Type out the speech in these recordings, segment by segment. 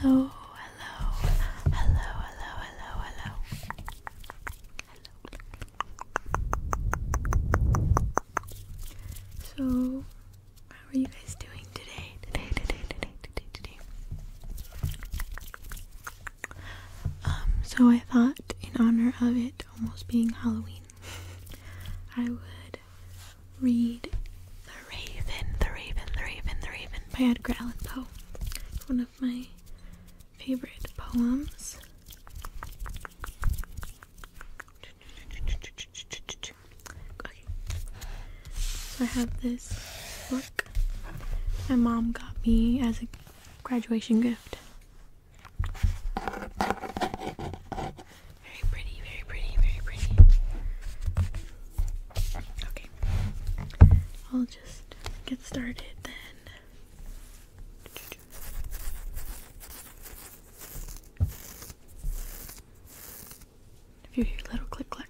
Hello, hello, hello, hello, hello, hello. So, how are you guys doing today? Today, today, today, today, today. Um, so I thought in honor of it almost being Halloween I would read The Raven, The Raven, The Raven, The Raven by Edgar Allan Poe. It's one of my favorite poems. So I have this book my mom got me as a graduation gift very pretty, very pretty, very pretty. Okay. I'll just get started then. If you hear little click click,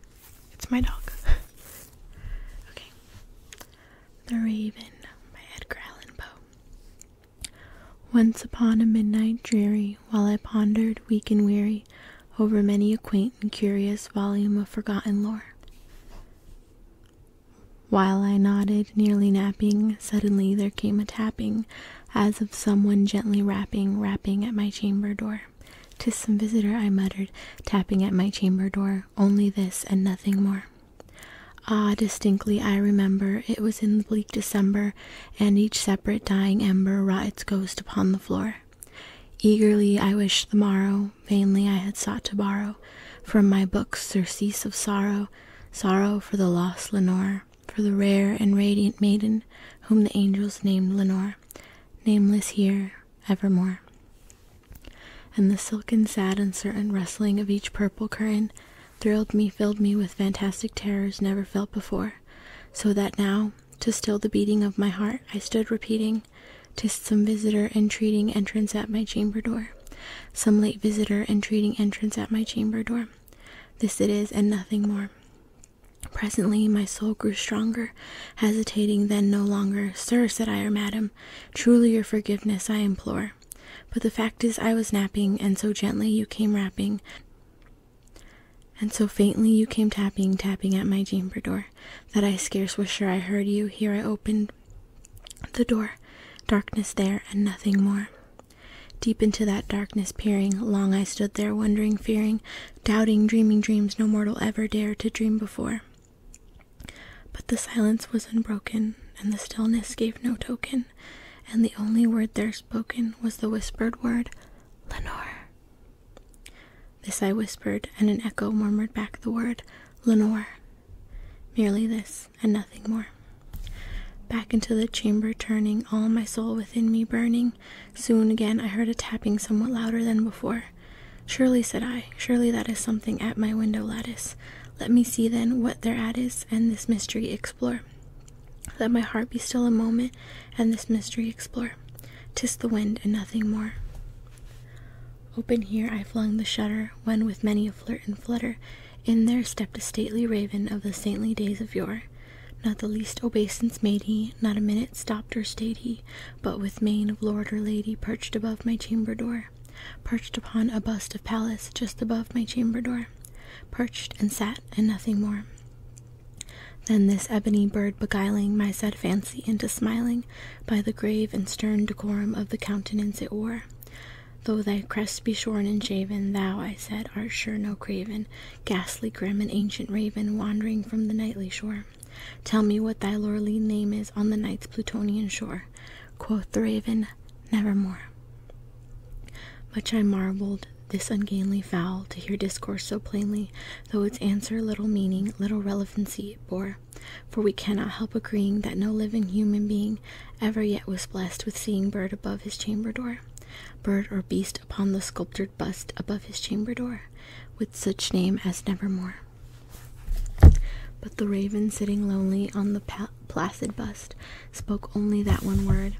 it's my dog. okay. The Raven by Edgar Allan Poe. Once upon a midnight dreary, while I pondered, weak and weary, over many a quaint and curious volume of forgotten lore. While I nodded, nearly napping, suddenly there came a tapping, as of some one gently rapping, rapping at my chamber door. "'Tis some visitor," I muttered, tapping at my chamber door, "only this and nothing more." Ah, distinctly I remember it was in bleak December, and each separate dying ember wrought its ghost upon the floor. Eagerly I wished the morrow, vainly I had sought to borrow from my books surcease of sorrow, sorrow for the lost Lenore, for the rare and radiant maiden whom the angels named Lenore, nameless here evermore. And the silken, sad, uncertain rustling of each purple curtain thrilled me, filled me with fantastic terrors never felt before, so that now, to still the beating of my heart, I stood repeating, "'Tis some visitor entreating entrance at my chamber door, some late visitor entreating entrance at my chamber door. This it is, and nothing more." Presently my soul grew stronger, hesitating then no longer. Sir, said I, or madam, truly your forgiveness I implore. But the fact is, I was napping, and so gently you came rapping, and so faintly you came tapping, tapping at my chamber door, that I scarce was sure I heard you. Here I opened the door, darkness there, and nothing more. Deep into that darkness peering, long I stood there, wondering, fearing, doubting, dreaming dreams no mortal ever dared to dream before. But the silence was unbroken, and the stillness gave no token, and the only word there spoken was the whispered word, Lenore. This I whispered, and an echo murmured back the word, Lenore. Merely this, and nothing more. Back into the chamber turning, all my soul within me burning, soon again I heard a tapping somewhat louder than before. Surely, said I, surely that is something at my window lattice. Let me see then what thereat is, and this mystery explore. Let my heart be still a moment, and this mystery explore. 'Tis the wind and nothing more. Open here I flung the shutter, when with many a flirt and flutter, in there stepped a stately raven of the saintly days of yore. Not the least obeisance made he, not a minute stopped or stayed he, but with mien of lord or lady perched above my chamber door perched upon a bust of Pallas just above my chamber door, perched and sat and nothing more. Then this ebony bird beguiling my sad fancy into smiling by the grave and stern decorum of the countenance it wore. Though thy crest be shorn and shaven, thou, I said, art sure no craven, ghastly, grim, and ancient raven wandering from the nightly shore. Tell me what thy lordly name is on the night's Plutonian shore. Quoth the raven, Nevermore. Much I marvelled this ungainly fowl to hear discourse so plainly, though its answer little meaning, little relevancy bore. For we cannot help agreeing that no living human being ever yet was blessed with seeing bird above his chamber door, bird or beast upon the sculptured bust above his chamber door, with such name as Nevermore. But the raven sitting lonely on the placid bust spoke only that one word,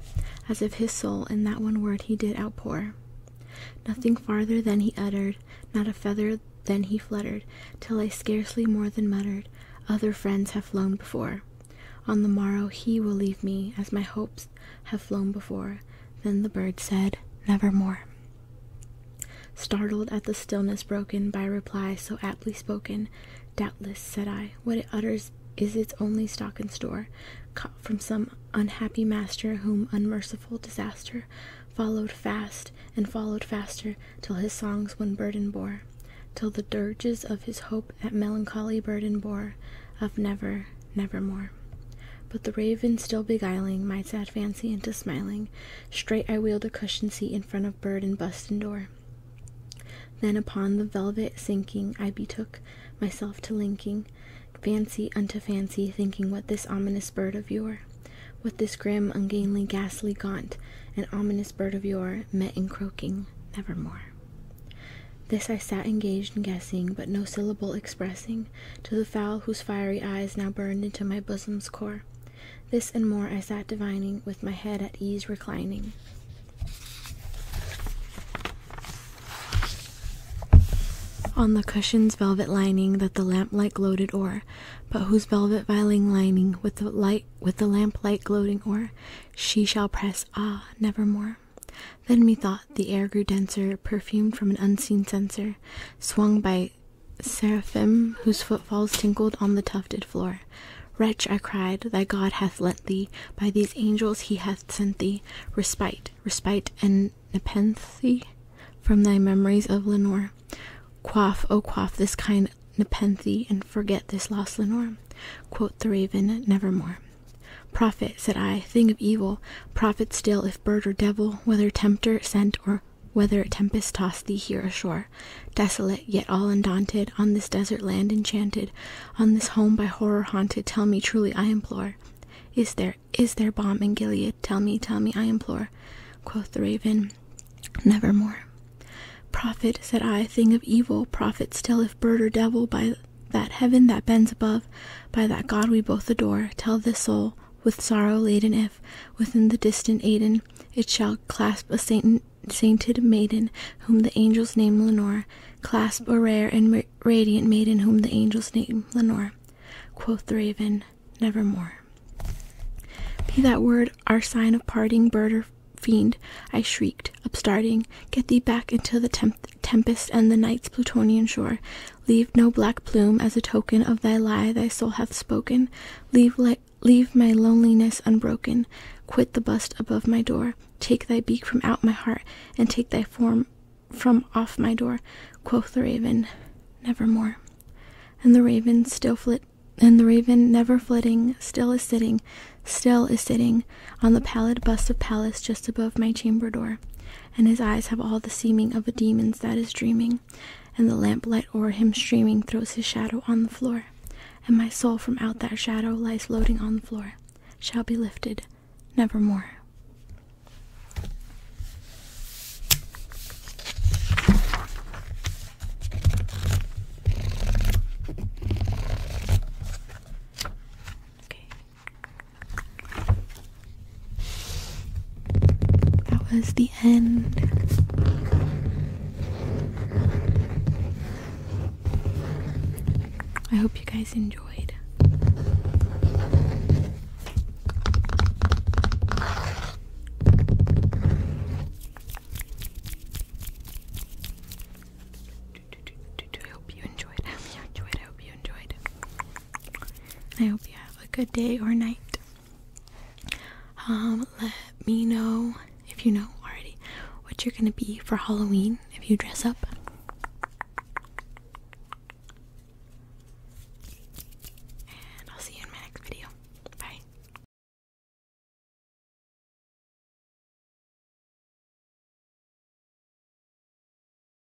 as if his soul in that one word he did outpour. Nothing farther than he uttered, not a feather then he fluttered, till I scarcely more than muttered, Other friends have flown before. On the morrow he will leave me, as my hopes have flown before. Then the bird said, Nevermore. Startled at the stillness broken by a reply so aptly spoken, doubtless, said I, what it utters is its only stock in store, caught from some unhappy master whom unmerciful disaster followed fast and followed faster till his songs one burden bore, till the dirges of his hope that melancholy burden bore of never, never more." But the raven still beguiling my sad fancy into smiling, Straight I wheeled a cushion seat in front of bird and bust and door. Then upon the velvet sinking, I betook myself to linking, fancy unto fancy, thinking what this ominous bird of yore, what this grim, ungainly, ghastly, gaunt, and ominous bird of yore met in croaking, nevermore. This I sat engaged in guessing, but no syllable expressing to the fowl whose fiery eyes now burned into my bosom's core. This and more I sat divining, with my head at ease reclining. On the cushion's velvet lining that the lamplight gloated o'er, but whose velvet viling lining with the light with the lamplight gloating o'er, she shall press ah nevermore. Then methought the air grew denser, perfumed from an unseen censer, swung by seraphim whose footfalls tinkled on the tufted floor. Wretch, I cried, thy God hath lent thee, by these angels he hath sent thee, respite, respite, and nepenthe from thy memories of Lenore. Quaff, O quaff this kind nepenthe, and forget this lost Lenore. Quoth the raven, nevermore. Prophet, said I, thing of evil, prophet still, if bird or devil, whether tempter, sent, or whether a tempest tossed thee here ashore, desolate yet all undaunted, on this desert land enchanted, on this home by horror haunted, tell me truly, I implore. Is there, is there balm in Gilead? Tell me, tell me, I implore. Quoth the raven, Nevermore. Prophet, said I, thing of evil, prophet still, if bird or devil, by that heaven that bends above, by that God we both adore, tell this soul, with sorrow laden if, within the distant Aden, it shall clasp a sainted maiden whom the angels name Lenore, clasp a rare and radiant maiden whom the angels name Lenore. Quoth the raven, nevermore. Be that word our sign of parting, bird or fiend, I shrieked, upstarting, get thee back into the tempest and the night's plutonian shore, Leave no black plume as a token of thy lie thy soul hath spoken. Leave, leave my loneliness unbroken. Quit the bust above my door. Take thy beak from out my heart, and take thy form from off my door. Quoth the raven, nevermore. And the raven still flit, and the raven never flitting, still is sitting, still is sitting on the pallid bust of Pallas just above my chamber door and his eyes have all the seeming of a demon's that is dreaming, and the lamplight o'er him streaming throws his shadow on the floor, and my soul from out that shadow lies floating on the floor, shall be lifted nevermore. Okay, that was the end. I hope you guys enjoyed. I hope you enjoyed. I hope you enjoyed. I hope you have a good day or night. Um, let me know if you know already what you're gonna be for Halloween if you dress up. And I'll see you in my next video. Bye.